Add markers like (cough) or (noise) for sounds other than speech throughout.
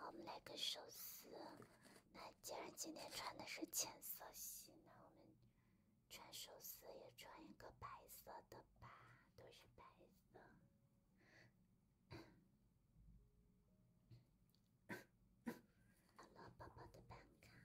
我们来个寿司。那既然今天穿的是浅色系，那我们。穿寿司也穿一个白色的吧，都是白色。(coughs) 好了，宝宝的办卡。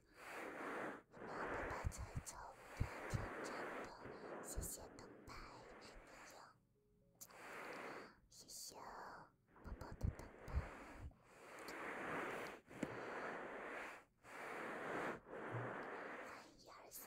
妈妈把彩绸贴在灯下，写写灯牌。还有，谢谢宝宝的灯牌。来，一二三。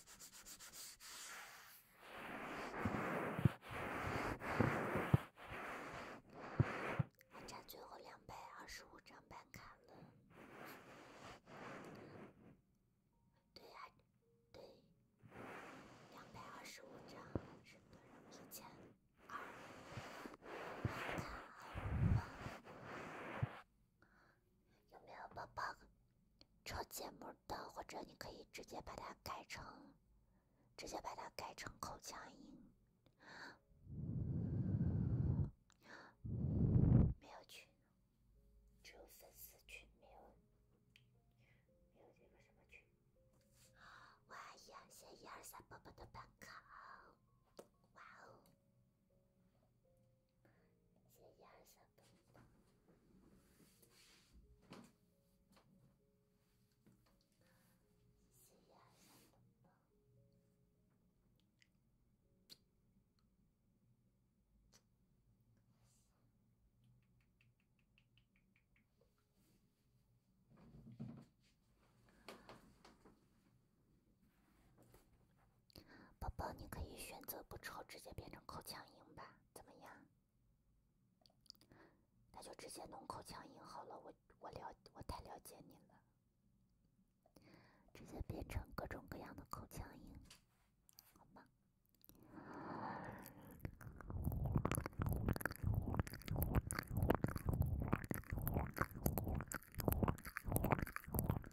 还差最后两百二十五张半卡了。对，还对，两百二十五张是等于一千二卡。有没有宝宝抄节目的？或者你可以直接把它改成，直接把它改成口腔音。没有群，只有粉丝群，没有没有这个什么群。哇呀，谢一二三宝宝的办卡，哇哦。三一一二三，宝宝，你可以选择不抽，直接变成口腔音吧？怎么样？那就直接弄口腔音好了。我我了，我太了解你了，直接变成各种各样的口腔音，好吗？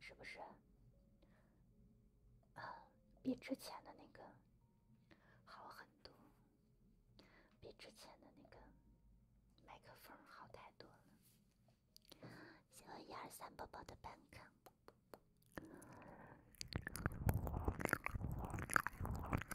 是不是？啊，比之前的那个好很多，比之前的那个麦克风好太多了。谢谢一二三宝宝的伴唱。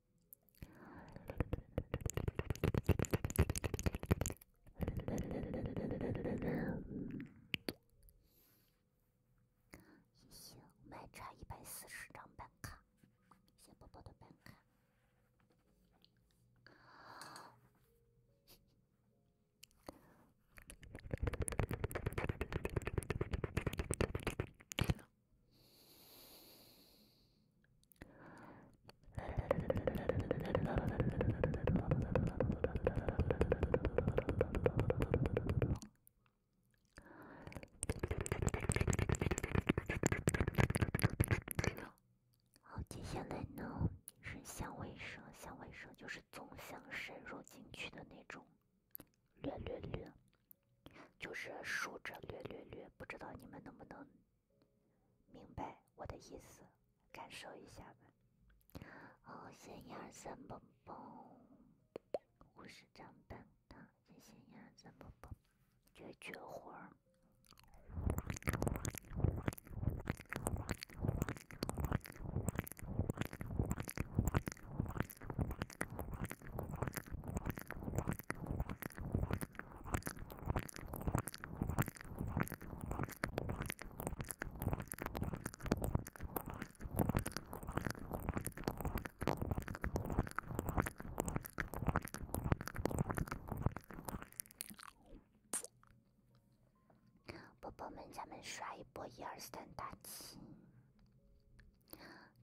也行，我们还差一百四十张办卡，谢宝宝的办卡。好，接下来呢是香味声，香味声就是总想深入进去的那种，略略略。就是竖着略略略，不知道你们能不能明白我的意思，感受一下吧。哦，先一二三，蹦蹦，五十张蛋蛋，谢谢一二三，蹦蹦，绝绝活儿。宝宝们，咱们刷一波，一二三，大起！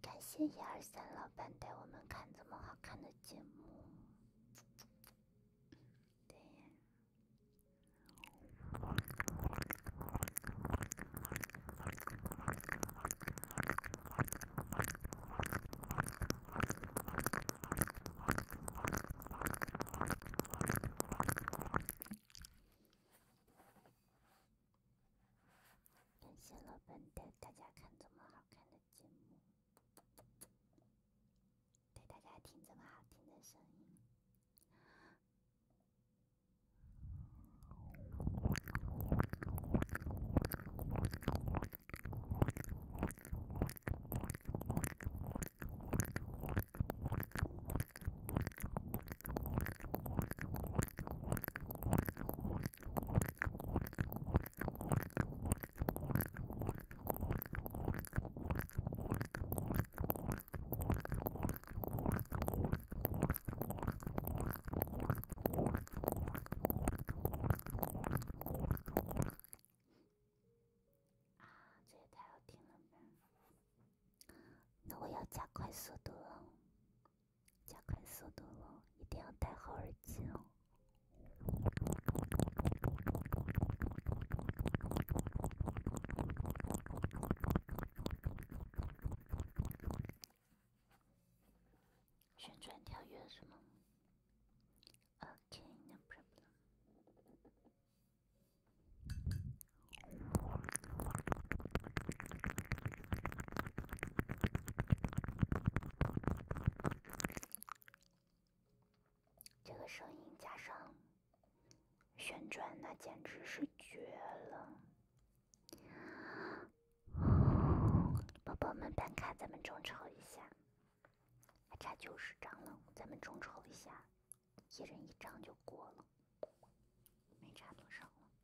感谢一二三老板带我们看这么好看的节目，对。感谢老板带大家看这么好看的节目，带大家听这么好听的声音。太好听了吧？那我要加快速度了。加快速度了，一定要戴好耳机哦。旋转跳跃什么？Okay, n 这个声音加上旋转，那简直是绝了！宝宝们办卡，咱们众筹一下，还差九十张了，咱们众筹一下，一人一张就过了，没差多少了。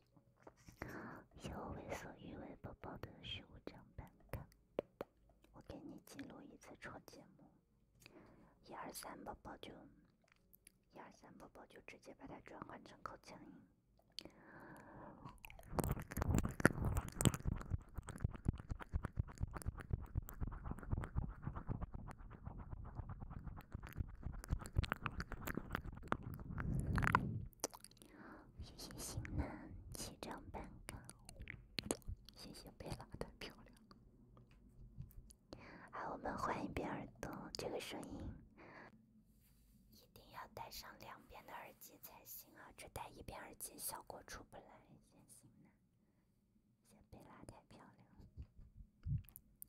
好，要我为所欲为，宝宝的是我这样办。我给你记录一次戳节目，一二三，宝宝就，一二三，宝宝就直接把它转换成口腔音。谢谢星楠七张半个，谢谢贝拉太漂亮。好，我们换一遍耳朵这个声音，一定要带上两边的耳机才行啊，只带一边耳机效果出不来。谢谢星楠，谢谢贝拉太漂亮。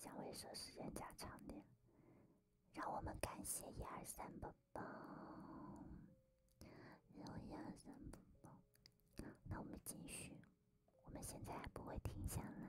想猥琐时间加长点，让我们感谢一、二、三不好，一二三四那我们继续，我们现在还不会停下来。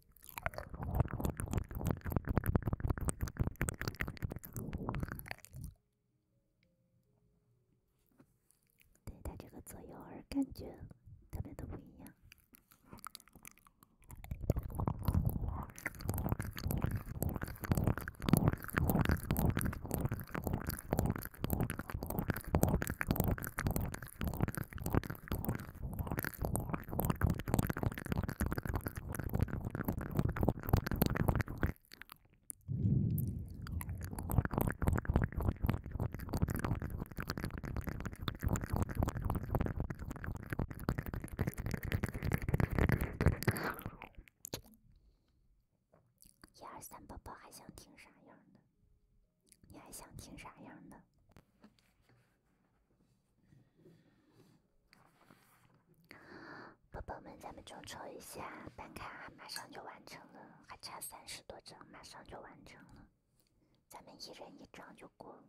对他这个左右耳感觉，特别的不一样。一二三，宝宝还想听啥样的？你还想听啥样的？宝宝们，咱们众筹一下办卡，马上就完成了，还差三十多张，马上就完成了，咱们一人一张就过了。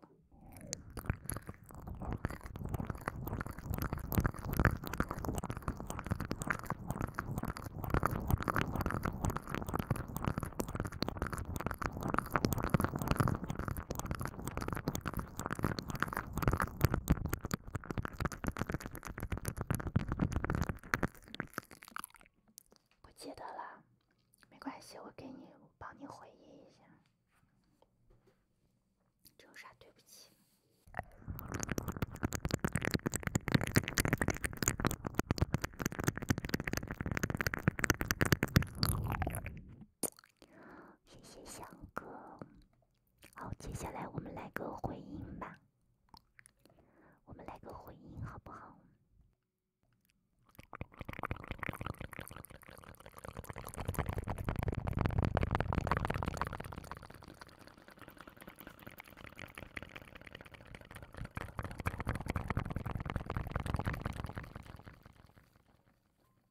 不记得了，没关系，我给你帮你回忆一下。有啥对不起？(laughs) 谢谢翔哥，好，接下来我们来个回音吧，我们来个回音好不好？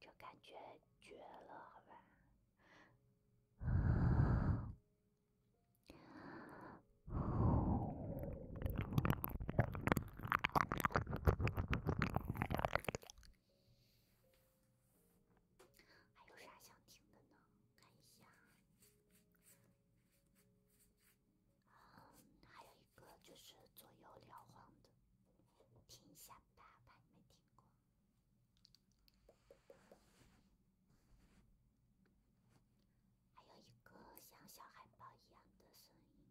这感觉绝了，好吧。还有啥想听的呢？看一下，嗯，还有一个就是左右摇晃的，听一下吧，怕你没听过。还有一个像小海豹一样的声音。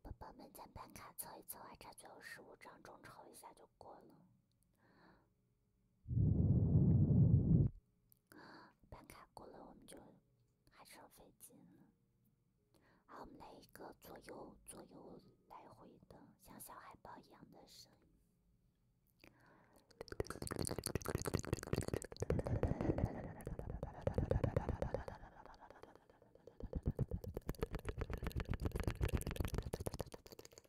宝 (sniffs) 宝们，先办卡凑一凑，还差最后十五张，众筹一下就过了。办卡过了，我们就还省费劲了。好，我们来一个左右左右来回的，像小海豹一样的声。音。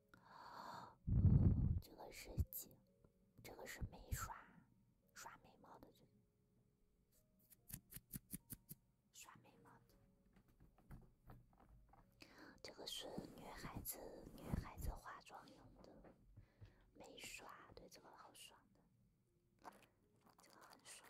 (gasps) 这个是几？这个是眉刷，刷眉毛的。刷眉毛的。这个是女孩子女孩子化妆用的眉刷，对这个好爽的，这个很爽。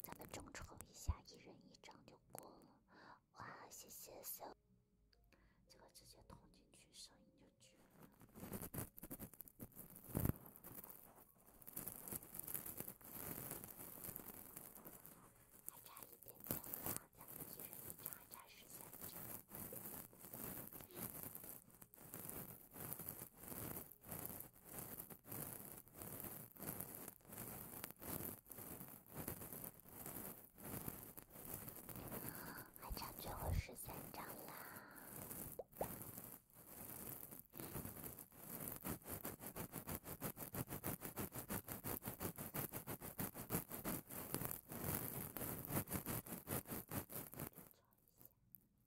咱们众筹一下，一人一张就过了。哇，谢谢小，这个直接通进去，声音就绝了。还差一点点了，咱们一人一张，还差十三张。还差最后十三张啦。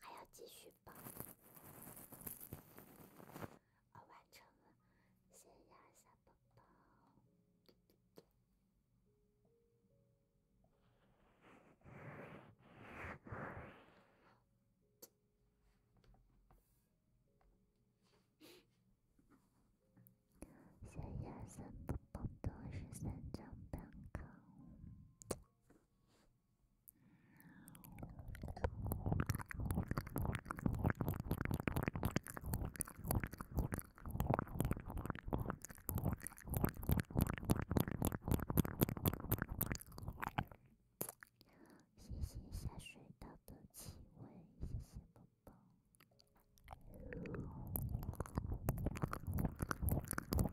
还要继续报，我完成了。小鸭小宝宝，小鸭小宝宝都是三张半卡。谢谢下水道的气味，谢谢宝宝。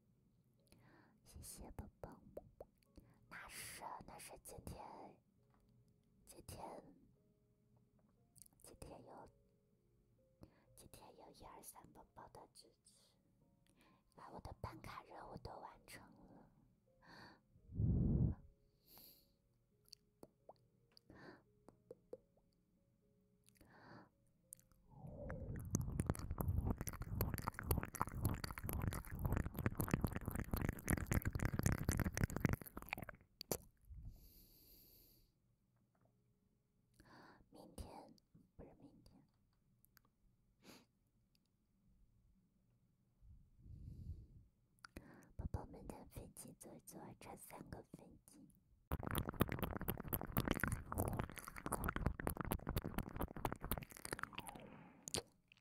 谢谢宝宝，那是那是今天，今天，今天有，今天有一二三宝宝的支持，把我的办卡任务都完成了。明天，不是明天，宝宝们的飞机坐坐还三个飞机。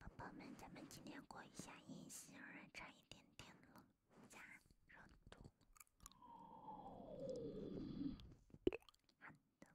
宝宝们，咱们今天过一下音，虽然差一点点了，咋？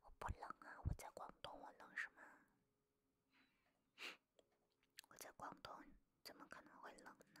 我不冷啊，我在广东，我冷是吗？我在广东，怎么可能会冷呢？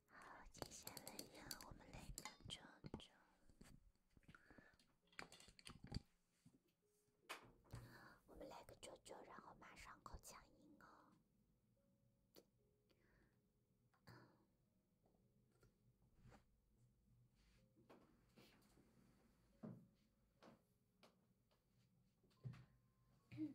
好，接下来让我们来个啾啾。啊，我们来个啾啾，然后马上口腔音哦。嗯。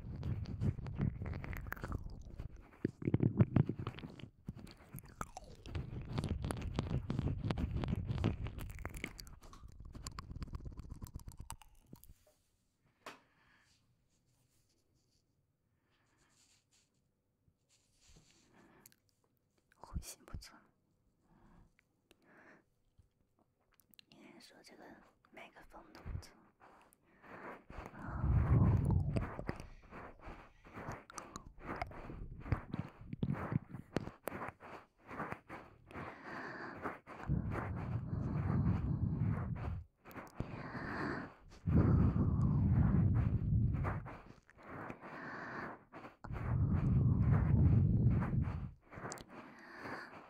呼吸不错。应该说这个麦克风动作。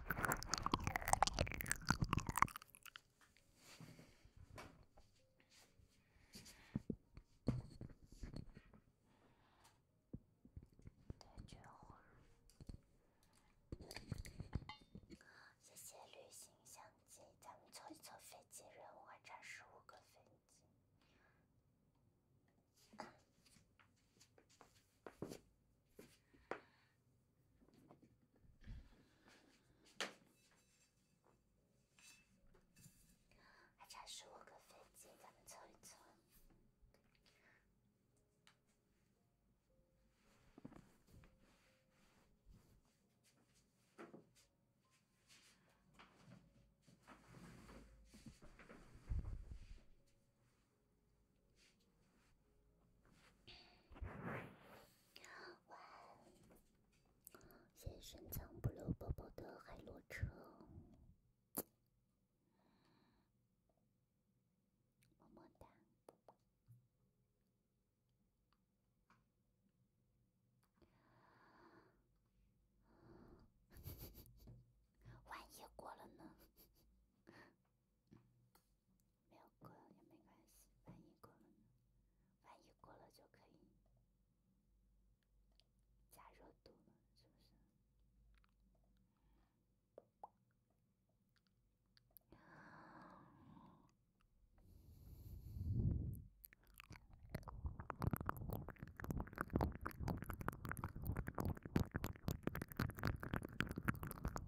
一句话。谢谢旅行相机，咱们凑一凑飞机任务还差十五个飞机。还差十五个飞机，咱们凑一凑。晚安，谢深藏不露宝宝的海螺车，么么哒。万一过了呢？没有过了也没关系，万一过了呢？万一过了就可以加热度了，是不是？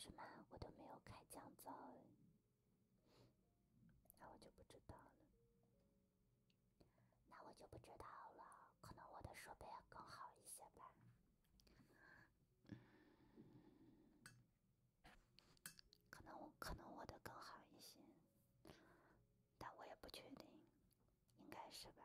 什么？我都没有开降噪，那我就不知道了。那我就不知道了，可能我的设备要更好一些吧。可能我可能我的更好一些。但我也不确定，应该是吧。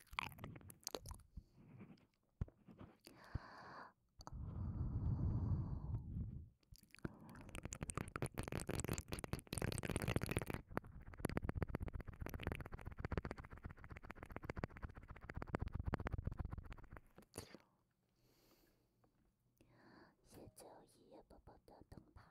借最后一夜宝宝的灯牌。